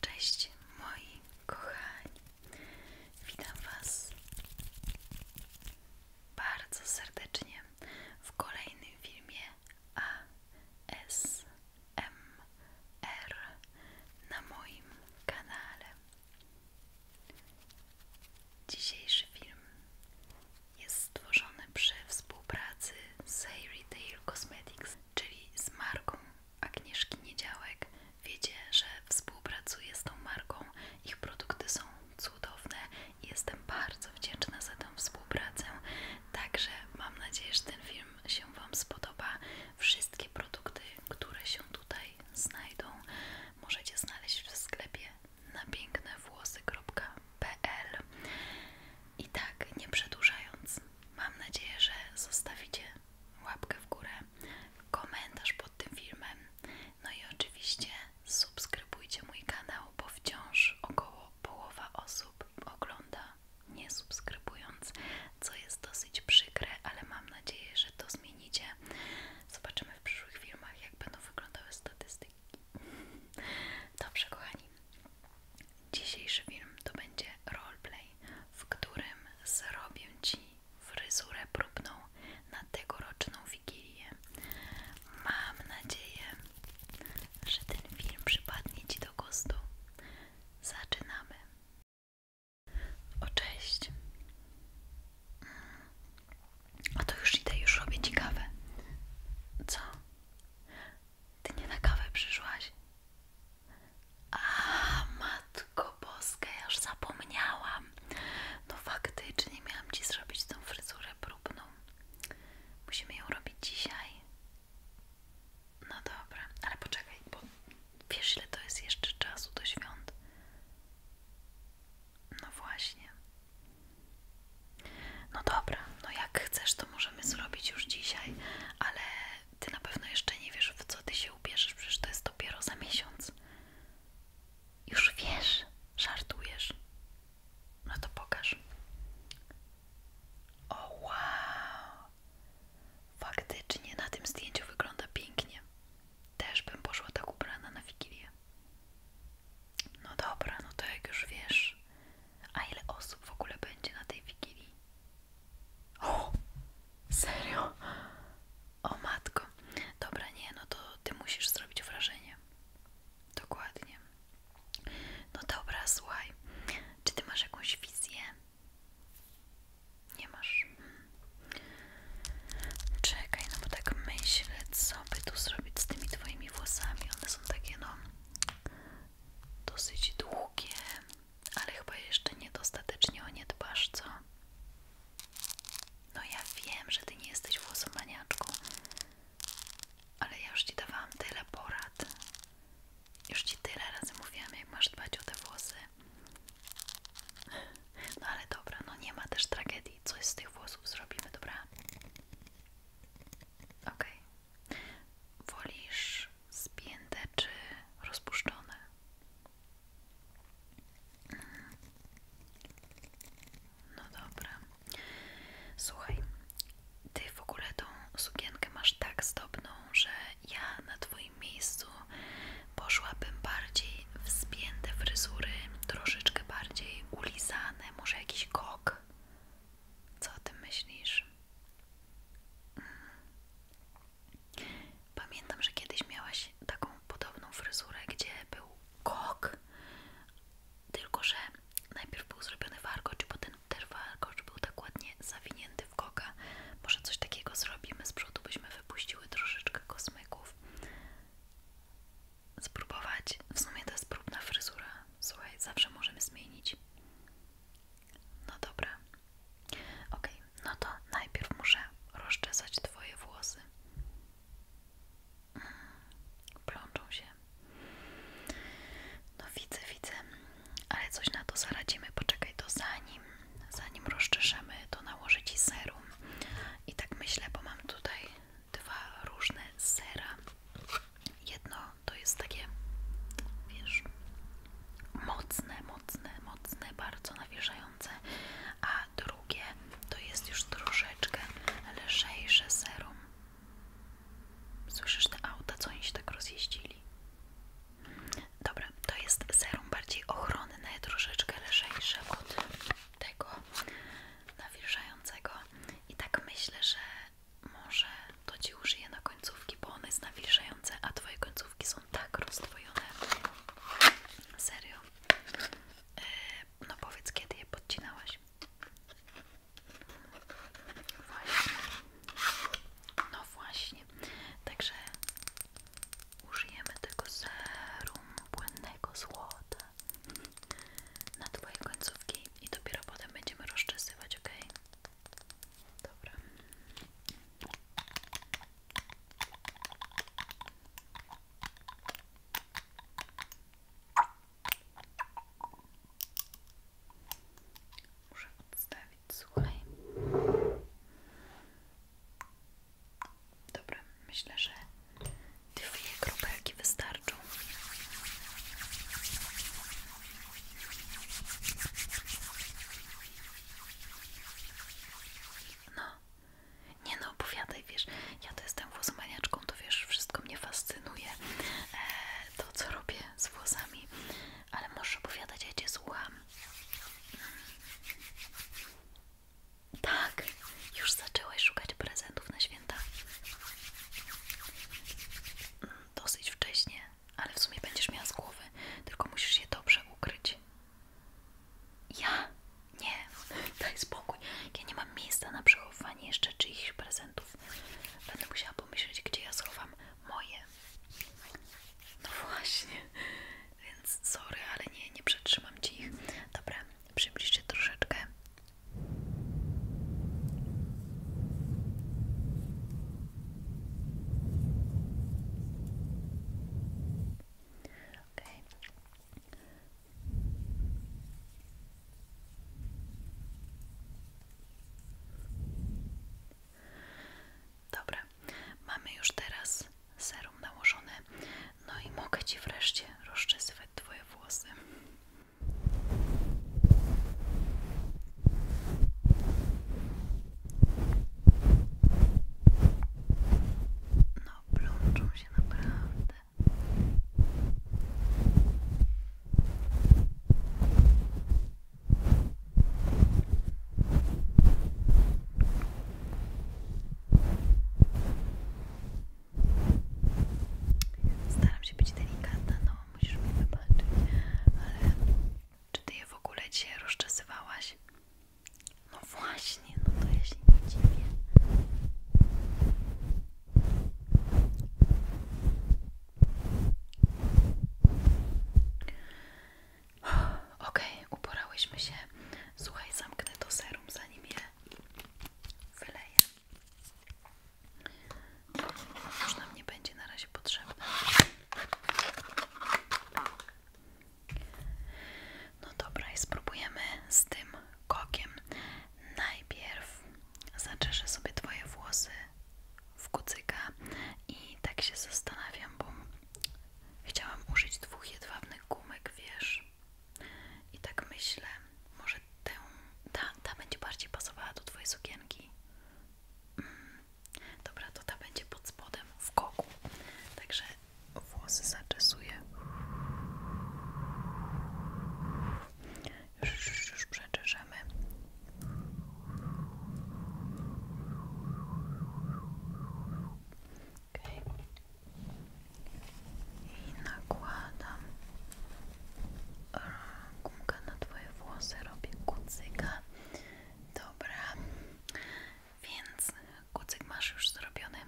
Cześć moi kochani, witam Was bardzo serdecznie w kolejnym filmie ASMR na moim kanale. Dzisiejszy film jest stworzony przy współpracy z Harry Tail Cosmetics, czyli z marką Agnieszki Niedziałek. Wiecie, że współpracuję z tą marką, ich produkty są cudowne i jestem bardzo wdzięczna za tą współpracę. Także mam nadzieję, że ten film się Wam spodoba. Wszystkie produkty, które się tutaj znajdą, możecie znaleźć w sklepie na pięknewłosy.pl. I tak, nie przedłużając, Mam nadzieję, że zostawicie łapkę w górę, komentarz pod tym filmem. No i oczywiście subskrybujcie mój kanał, bo wciąż około połowa osób ogląda nie subskrybując, co jest dosyć przykre, ale mam nadzieję, że to zmienicie. Zobaczymy w przyszłych filmach, jak będą wyglądały statystyki. Dobrze, kochani. Dzisiejszy film to będzie roleplay, w którym zrobię Ci fryzurę próbną na tegoroczną Wigilię. Mam nadzieję, że ten film przypadnie Ci do gustu. Zaczynamy. O cześć. A to już idę, już robię Ci kawę. Co? Ty nie na kawę przyszłaś? A matko boska, ja już zapomniałam. No faktycznie miałam Ci zrobić tą fryzurę próbną. Musimy ją robić dzisiaj. No dobra, ale poczekaj, bo wiesz ile to jest jeszcze czasu do świąt? No właśnie. No dobra, no jak chcesz, to możemy zrobić już dzisiaj, ale ty na pewno jeszcze nie wiesz, w co ty się ubierzesz, przecież to jest dopiero za miesiąc. Już wiesz, żartujesz. No to pokaż. O wow! Faktycznie na tym zdjęciu wygląda pięknie. Też bym poszła tak ubrana na Wigilię. No dobra, no to jak już wiesz, a ile osób w ogóle będzie na tej figurze? O! Serio? O matko. Dobra, nie, no to ty musisz zrobić wrażenie. Dokładnie. No dobra, słuchaj. Czy ty masz jakąś wizję? Nie masz. Hmm. Czekaj, no bo tak myślę, co by tu zrobić z tymi twoimi włosami. One są takie, no, dosyć długie, ale chyba jeszcze niedostatecznie o nie dbasz, co? No ja wiem, że ty nie jesteś włosomaniaczką, ale ja już ci dawałam tyle porad. Już ci tyle razy mówiłam, jak masz dbać o te włosy. No ale dobra, no nie ma też tragedii. Coś z tych włosów zrobimy, dobra? Okej, okay, Wolisz spięte czy rozpuszczone? No dobra. Słuchaj, ty w ogóle tą sukienkę masz tak zdobną, że ja na twoim miejscu poszłabym bardziej w spięte fryzury, troszeczkę bardziej ulizane, może jakiś kok. Co o tym myślisz? Pamiętam, że kiedyś miałaś taką podobną fryzurę, gdzie był kok, tylko że najpierw był zrobiony warkocz, potem ten warkocz był tak ładnie zawinięty w koka. Może coś takiego zrobimy z przodu, byśmy wypuściły troszeczkę kosmyków. Spróbować. W sumie to jest próbna fryzura. Słuchaj, zawsze możemy zmienić. No dobra. Ok. no to najpierw muszę rozczesać Twoje włosy. Mm, plączą się. No widzę, widzę. Ale coś na to zaradzimy. Poczekaj, to zanim, zanim rozczeszemy, to nałożę Ci serum. I tak myślę, bo mam tutaj dwa różne sera. Jedno to jest takie, wiesz, mocne, mocne, mocne, bardzo nawierzające, a drugie to jest już troszeczkę lżejsze serum. Słyszysz te auta, co oni się tak rozjeździli? Dobra, to jest serum bardziej ochronne, troszeczkę lżejsze od tego nawierzającego. i tak myślę, że może to Ci użyję na końcówki, bo one jest nawilżające, a Twoje końcówki są tak rozdwojone. Serio. E, no powiedz, kiedy je podcinałaś? Właśnie. No właśnie. Także użyjemy tego serum błędnego złota na Twoje końcówki i dopiero potem będziemy rozczesywać, ok? Dobra. Muszę odstawić, słuchaj. Dobra, myślę, że Dwie kropelki wystarczą. No, nie no, opowiadaj, wiesz, ja to jestem włosomaniaczką, to wiesz, wszystko mnie fascynuje, e, to co robię z włosami, ale możesz opowiadać, ja cię słucham. Tak, już zaczęłaś szukać prezentów na święta. Dosyć wcześnie, ale w sumie będziesz miała z głowy, tylko musisz je dobrze ukryć. Ja? Nie, daj spokój. Ja nie mam miejsca na przechowywanie jeszcze czyichś prezentów. Będę musiała pomyśleć, gdzie ja schowam moje. No właśnie, więc sorry, ale nie, nie przetrzymam ci ich. Dobra, przybliżcie troszeczkę Okay. Dobra, mamy już teraz serum nałożone. No i mogę Ci wreszcie rozczesywać Twoje włosy. No, plączą się naprawdę. Staram się być delikatna, no musisz mi wybaczyć, ale czy ty je w ogóle dzisiaj rozczesywałaś? No właśnie, no to ja się nie dziwię. Okej, uporałyśmy się. Słuchaj, zamknę to serum, zanim je wyleję. Można nam będzie na razie potrzebna. No dobra, i spróbujemy z tym kokiem. Najpierw zaczeszę sobie Twoje włosy w kucyka i tak się zastanawiam, bo chciałam użyć dwóch jedwabnych gumek, wiesz, i tak myślę, może tę, ta, ta będzie bardziej pasowała do twojej sukienki. Mm, dobra, to ta będzie pod spodem w koku. Także włosy zaczesuję. Już, już, już i nakładam gumkę na Twoje włosy, robię kucyka. Dobra, więc kucyk masz już zrobiony.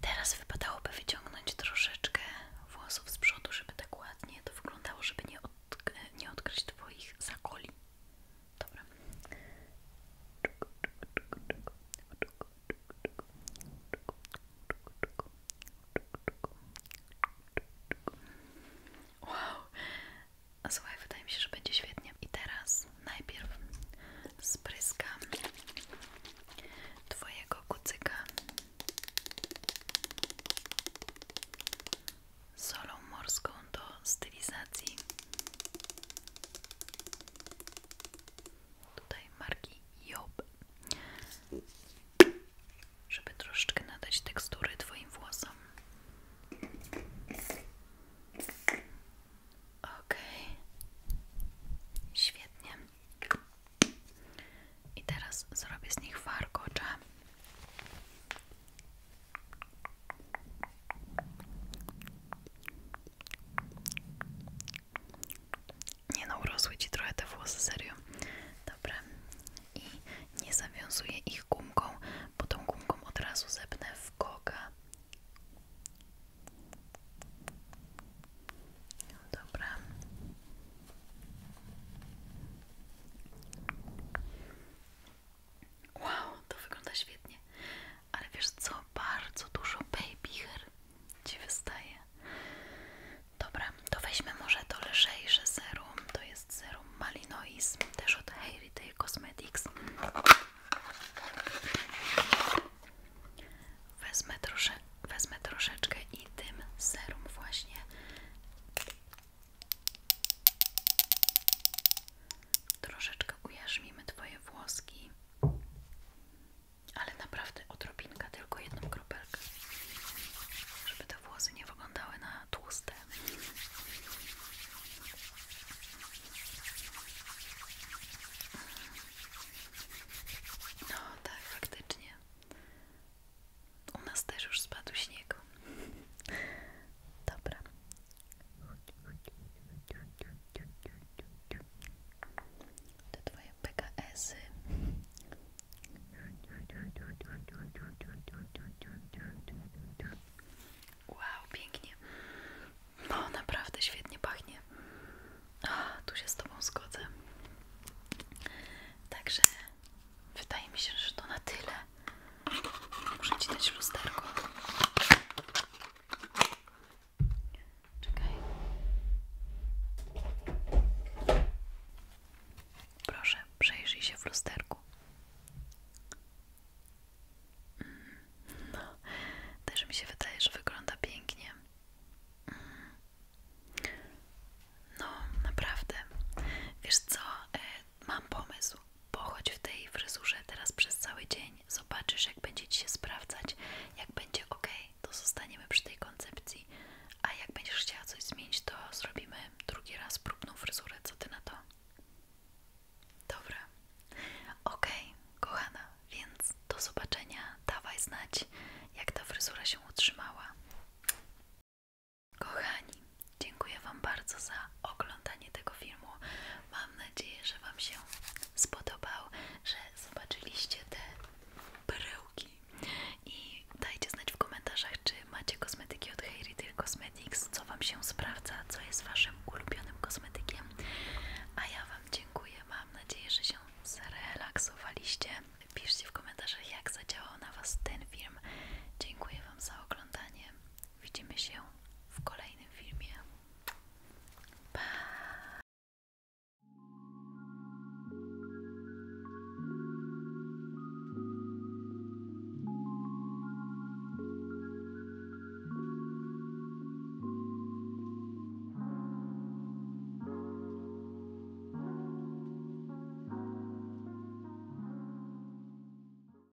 Teraz wypadałoby wyciągnąć troszeczkę włosów z przodu, żeby tak ładnie to wyglądało, żeby nie, nie odkryć Twoich zakoli. Dobra. Czuk, czuk, czuk, czuk, czuk. Wow, słuchaj, wydaje mi się, że będzie świetnie. I teraz najpierw spryskam Twojego kucyka solą morską do stylizacji tutaj marki Job żeby troszeczkę nadać tekstury Twoim włosom ok świetnie i teraz zrobię z nich warkocza nie no, urosły ci trochę te włosy, serio. Dobra. I nie zawiązuję ich gumką, bo tą gumką od razu zepnę w koga. Dobra. Wow, to wygląda świetnie ale wiesz co, bardzo dużo baby hair Ci wystaje. Dobra, to weźmy może to lżejsze serum, to jest serum Malinois, też od Harry Hairy Cosmetics. Wezmę, trosze, wezmę troszeczkę i tym serum właśnie troszeczkę ujarzmimy Twoje włoski ale naprawdę odrobinka, tylko jedną kropelkę, żeby te włosy nie wyglądały na tłuste. No tak, faktycznie. U nas też już spadł śnieg. Dobra, te twoje PKS-y. Wow, pięknie. No, naprawdę świetnie pachnie. tu się z Tobą zgodzę. Także wydaje mi się, że to na tyle. Muszę ci dać lusterko. Czekaj. Proszę, przejrzyj się w lusterku. No, też mi się wydaje, że wygląda pięknie. Mm. No, naprawdę. Wiesz co, e, mam pomysł. Pochodź w tej fryzurze teraz przez cały dzień, zobaczysz jak będzie Ci się sprawdzać, jak będzie ok, to zostaniemy przy tej koncepcji, a jak będziesz chciała coś zmienić, to zrobimy drugi raz próbną fryzurę, co Ty na to? Dobra, ok, kochana, więc do zobaczenia, dawaj znać jak ta fryzura się utrzymała. Kochani, dziękuję Wam bardzo za oglądanie tego filmu. Mam nadzieję, że Wam się spodobał, że zobaczyliście te perełki i dajcie znać w komentarzach, czy macie kosmetyki od Hair Retail Cosmetics, co Wam się sprawdza, co jest Waszym ulubionym kosmetykiem. A ja Wam dziękuję, mam nadzieję, że się zrelaksowaliście. Piszcie w komentarzach, jak zadziałał na Was ten film. Dziękuję Wam za oglądanie Widzimy się w kolejnym filmie. Pa!